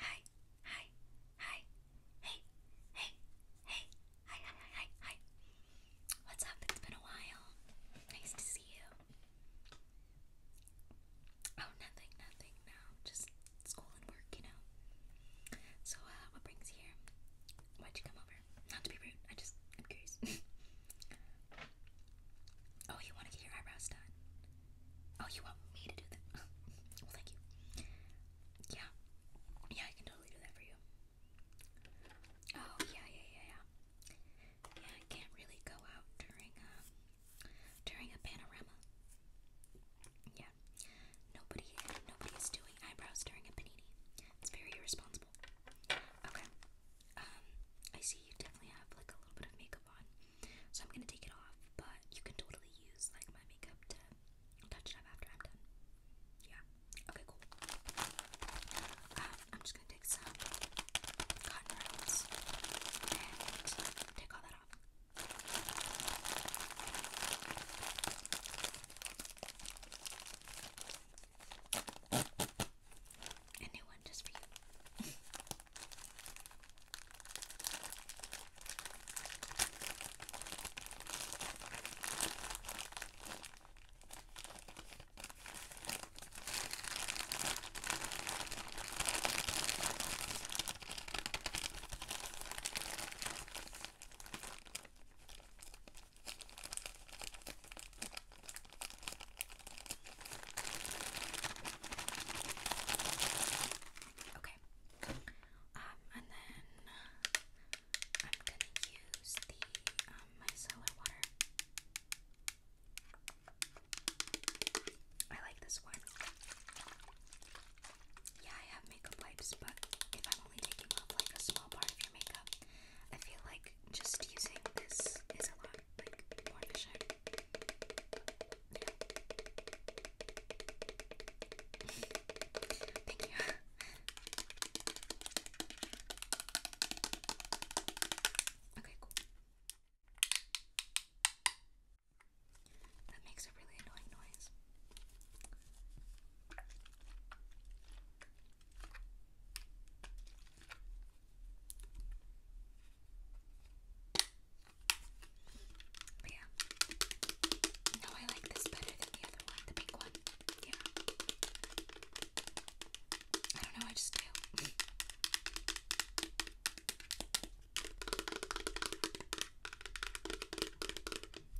Hi, hi, hi, hey, hey, hey, hi, hi, hi, hi, What's up? It's been a while. Nice to see you. Oh, nothing, nothing, no. Just school and work, you know. So, uh, what brings you here? Why'd you come over? Not to be rude, I just, I'm curious. oh, you want to get your eyebrows done? Oh, you want me to do that? well, thank you. Yeah. Yeah, I can totally do that for you. Oh, yeah, yeah, yeah, yeah. Yeah, I can't really go out during, um, during a panorama. Yeah. Nobody, nobody is doing eyebrows during a panini. It's very irresponsible. Okay. Um, I see you definitely have, like, a little bit of makeup on. So I'm gonna take it off, but you can totally use like my makeup to touch it up after I'm done. Yeah. Okay, cool. Um, I'm just gonna take some cotton and take all that off. A new one just for you. Okay. Um, and then I'm gonna use the um, micellar water. I like this one. Yeah, I have makeup wipes, but if I'm only taking off like a small part of your makeup, I feel like just using this is a lot. Thank you. okay, cool. That makes a really annoying noise. But yeah. No, I like this better than the other one, the pink one. Yeah. I don't know, I just do.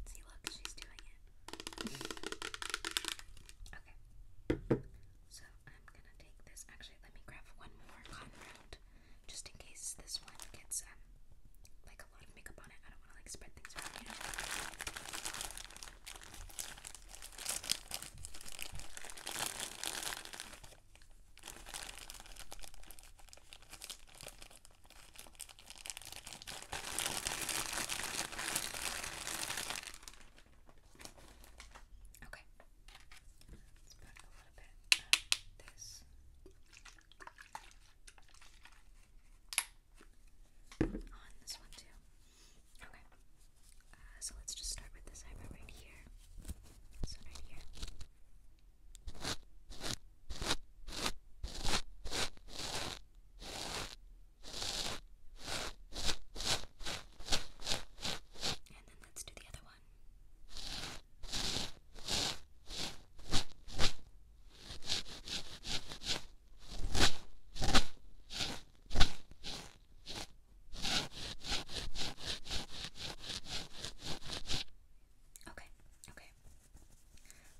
See, look, she's doing it. okay. So I'm gonna take this. Actually, let me grab one more cotton round, just in case this one gets um, like a lot of makeup on it. I don't want to like spread things around. You Okay. let this. On this one too. Okay. Uh, so let's just start with this eyebrow right here. This right here. And then let's do the other one. Okay, okay.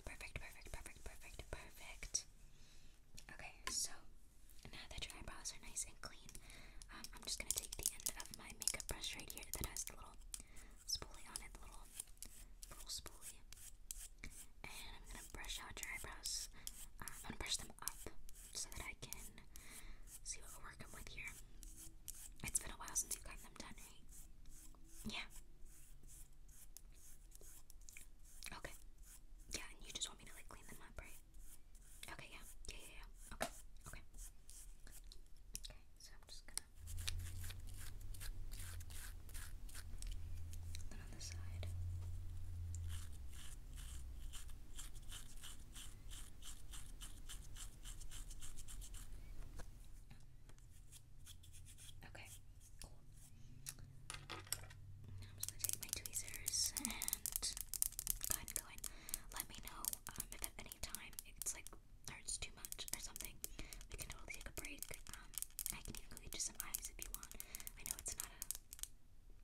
Perfect, perfect, perfect, perfect, perfect. Okay, so now that your eyebrows are nice and clean, um, I'm just gonna take the end of my makeup brush right here that has the little spoolie on it, little little spoolie, and I'm gonna brush out your eyebrows. Um, I'm gonna brush them up so that I can see what we're working with here. It's been a while since you got them done, right? Yeah. Okay, yeah, and you just want me to like clean them up, right? Okay, yeah. Yeah, yeah, Okay, okay. Okay, so I'm just gonna. Then on the side. Okay, I'm just gonna take my tweezers and go ahead go in. Let me know um, if at any time it's like hurts too much or something. We can totally take a break. Um, I can even go get you some eyes if you want. I know it's not a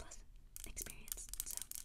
pleasant experience, so okay.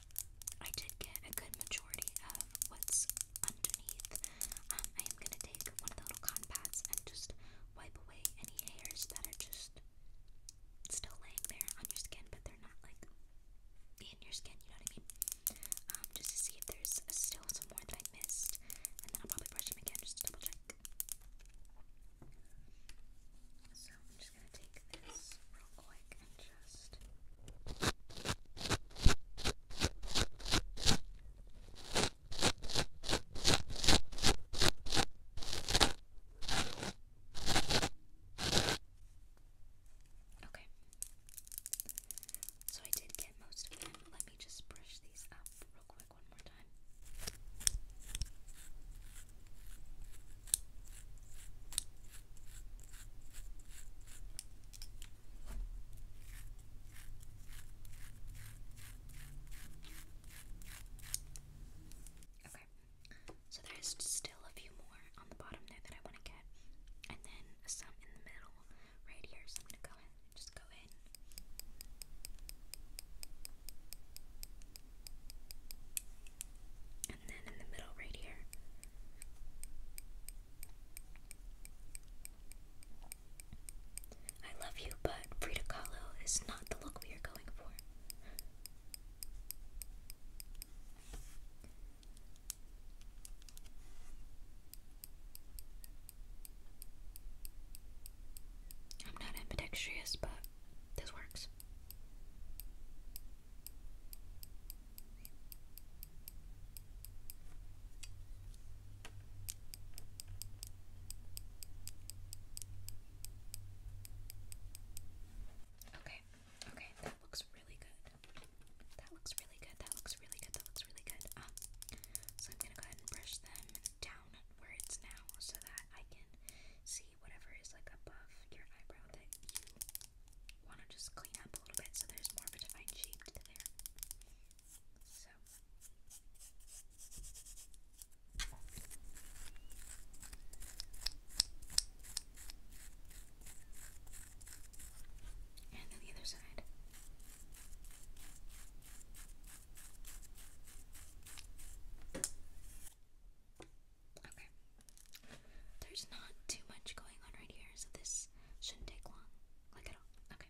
I did get a good majority of what's underneath. Um, I am gonna take one of the little cotton pads and just wipe away any hairs that are just still laying there on your skin, but they're not like in your skin. You know what I mean? Um, just to see if there's still some more that I missed, and then I'll probably brush them again just to double check. So gonna Okay. So I did get most of them. Let me just brush these up real quick one more time. Okay, so there's still a few more on the bottom there that I want to get, and then some in the middle right here. So I'm gonna go ahead just go in. And then in the middle, right here. I love you, but Frida Kahlo is not the look we are going for. I'm not ambidextrous, but this works. Okay, okay, that looks really good. That looks really good. That looks really good. That looks really good. Um, so I'm gonna go ahead and brush them downwards now so that I can see whatever is like above your eyebrow that you want to just clean up a little bit so there's more of a defined shape there. So. And then the other side. Okay. There's not too much going on right here, so this shouldn't take long. Like at all. Okay.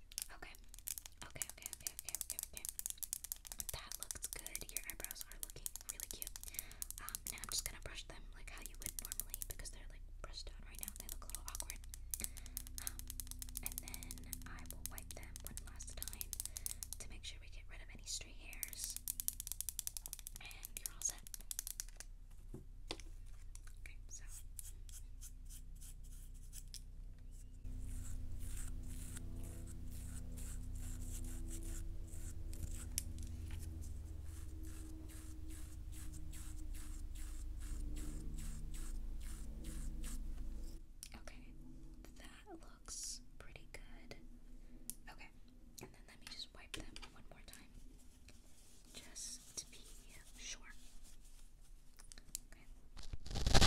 Okay. Okay, okay, okay, okay, okay, That looks good. Your eyebrows are looking really cute. Um, now I'm just gonna brush them like how you would normally because they're like brushed out right now. They look a little awkward. Um, and then I will wipe them one last time to make sure we get rid of any stray hairs. And you're all set. Okay, so Okay, that looks pretty good. Okay, and then let me just wipe them one more time. Just this to be short. Okay.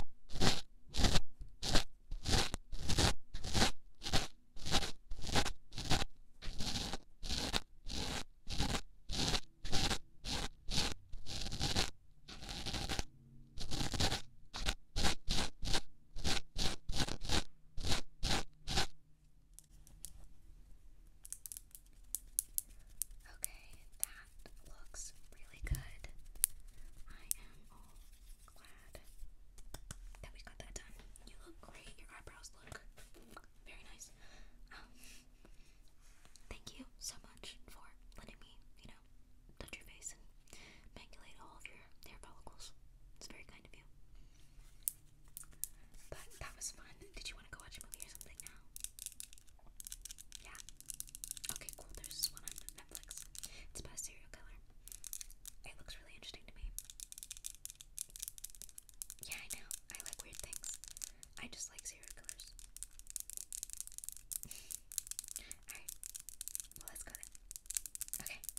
Okay, that looks really good. I am all glad that we got that done. You look great. Your eyebrows look very nice. Um, thank you so much for letting me, you know, touch your face and manipulate all of your hair follicles. It's very kind of you. But that was fun. Did you want to go watch a movie or something now? Yeah? Okay, cool. There's this one on Netflix. It's about serial killer. It looks really interesting to me. Yeah, I know. I like weird things. I just like serial killers. Alright. Well, let's go then. Okay.